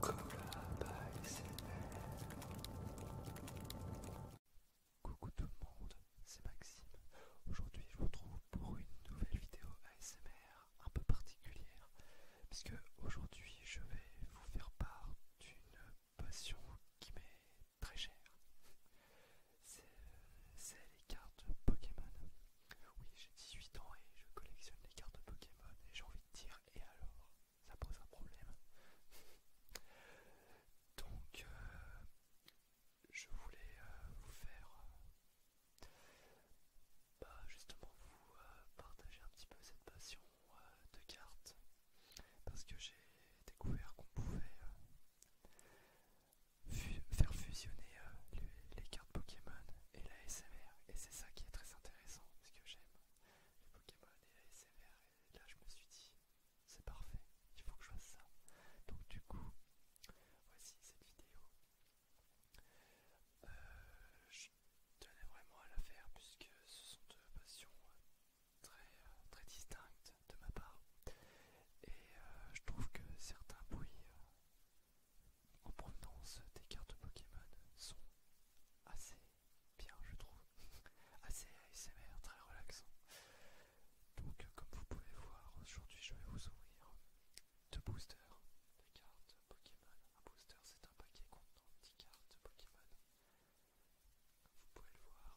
Coucou tout le monde, c'est Maxime. Aujourd'hui je vous retrouve pour une nouvelle vidéo ASMR un peu particulière, puisque aujourd'hui je vais vous faire part d'une passion qui m'est très chère. C'est les cartes Pokémon. Oui, j'ai 18 ans et je collectionne les cartes Pokémon et j'ai envie de dire et alors Ça pose un problème. Donc, euh, je voulais euh, vous faire euh, bah, justement vous partager un petit peu cette passion de cartes parce que j'ai découvert qu'on pouvait faire fusionner les cartes Pokémon et la SMR et c'est ça qui est très intéressant parce que j'aime les Pokémon et la SMR et là je me suis dit c'est parfait il faut que je fasse ça donc du coup voici cette vidéo euh, je tenais vraiment à la faire puisque ce sont deux passions euh, très euh, très distinctes de ma part et je trouve que certains bruits en provenance des cartes Pokémon sont assez bien je trouve, assez ASMR, très relaxant. Donc euh, comme vous pouvez voir aujourd'hui je vais vous ouvrir deux boosters de cartes Pokémon. Un booster c'est un paquet contenant 10 cartes Pokémon. vous pouvez le voir.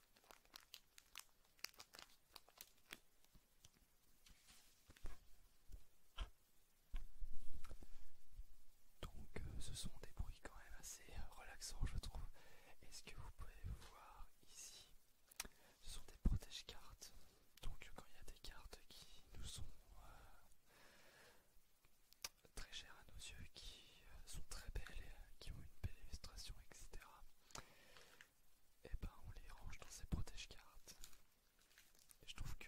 Donc euh, ce sont des bruits quand même assez euh, relaxants je trouve. Est-ce que vous pouvez voir ici Ce sont des protège-cartes. Donc quand il y a des cartes qui nous sont euh, très chères à nos yeux, qui sont très belles, qui ont une belle illustration, etc et eh ben on les range dans ces protèges. cartes je trouve que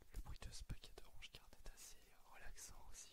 le bruit de ce paquet de range-cartes est assez euh, relaxant aussi.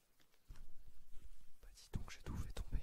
Bah dit donc, j'ai tout fait tomber.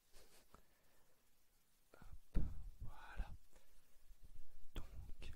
voilà. Donc,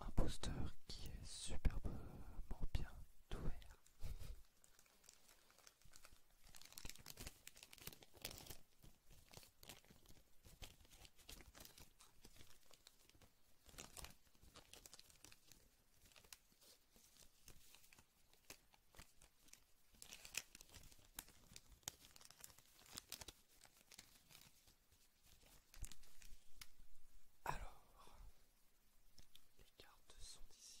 Un poster qui est superbement bien ouvert. Alors, les cartes sont ici.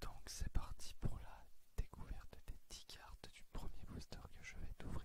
Donc c'est parti pour la découverte des 10 cartes du premier booster que je vais t'ouvrir.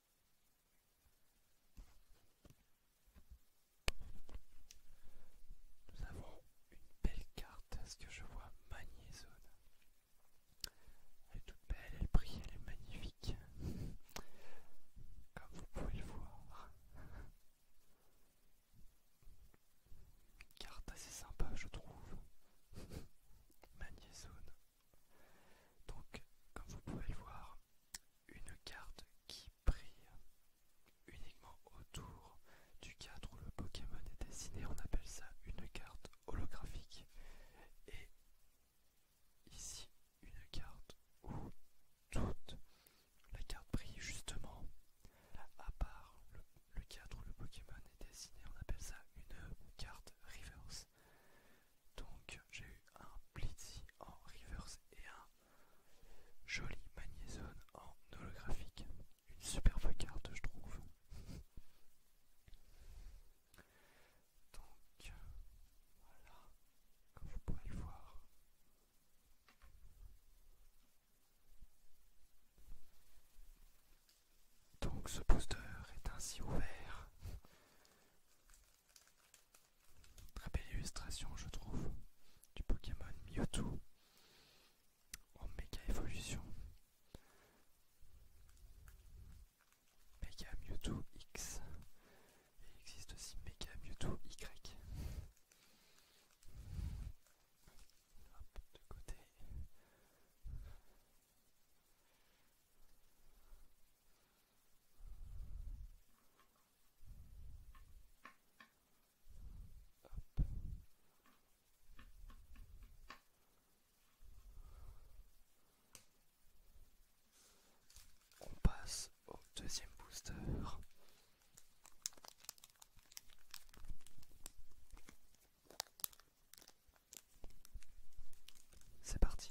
Nous avons une belle carte, est ce que je vois, Magnézone. Elle est toute belle, elle brille, elle est magnifique. Comme vous pouvez le voir. carte assez sympa, je trouve. Magnézone. Donc, comme vous pouvez le voir, une carte qui brille uniquement autour du cadre où le Pokémon est dessiné. On appelle ça une carte holographique. Et ici, une carte où toute la carte brille justement à part le cadre où le Pokémon est dessiné. On appelle ça une carte reverse. Donc j'ai eu un Blitzy en reverse et un joli magnézone en holographique. Une superbe carte je trouve. Donc voilà, comme vous pouvez le voir. Donc ce booster est ainsi ouvert. Très belle illustration, je trouve, du Pokémon Mewtwo en oh, méga évolution. Mega Mewtwo X. il existe aussi Mega Mewtwo Y. de côté. On passe au deuxième booster. C'est parti.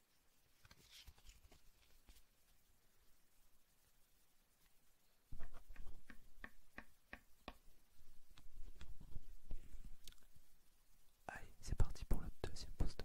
Allez, c'est parti pour le deuxième poster.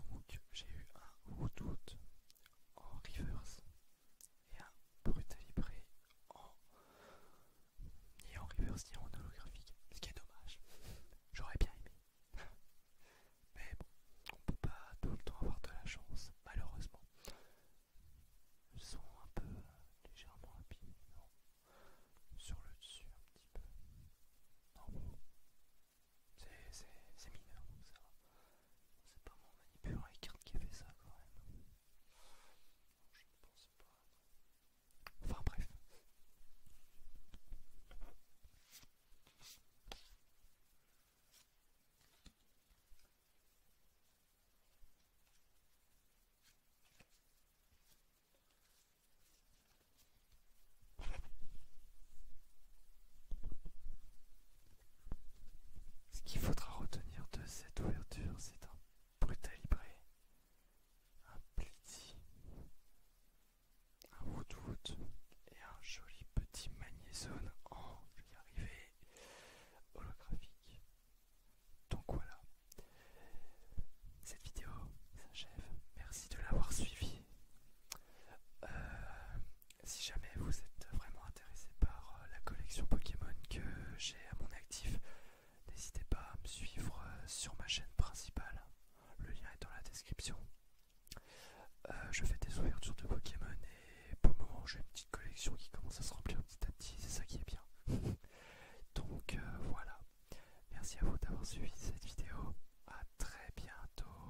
Donc j'ai eu un haut-doute en reverse et un Brutalibré en ni en reverse ni en holographique, ce qui est dommage. J'aurais bien aimé. Mais bon, on peut pas tout le temps avoir de la chance, malheureusement. Ils sont un peu euh, légèrement abîmés, Sur le dessus un petit peu. Non, c'est mineur ça. C'est pas mon les carte qui a fait ça quand même. Je ne pense pas. Enfin bref. Ce qu'il faudra retenir de cette ouverture, c'est un brutalibré, un petit un woodwood et un joli petit magnézone en, je holographique. Donc voilà, cette vidéo s'achève. Merci de l'avoir suivi. Euh, si jamais vous êtes vraiment intéressé par euh, la collection Pokémon que j'ai à mon actif, n'hésitez pas à me suivre euh, sur ma chaîne principale. Le lien est dans la description. Euh, je fais des ouvertures de Pokémon et pour le moment j'ai une petite collection qui commence à se remplir petit à petit, c'est ça qui est bien. Donc voilà, merci à vous d'avoir suivi cette vidéo, à très bientôt.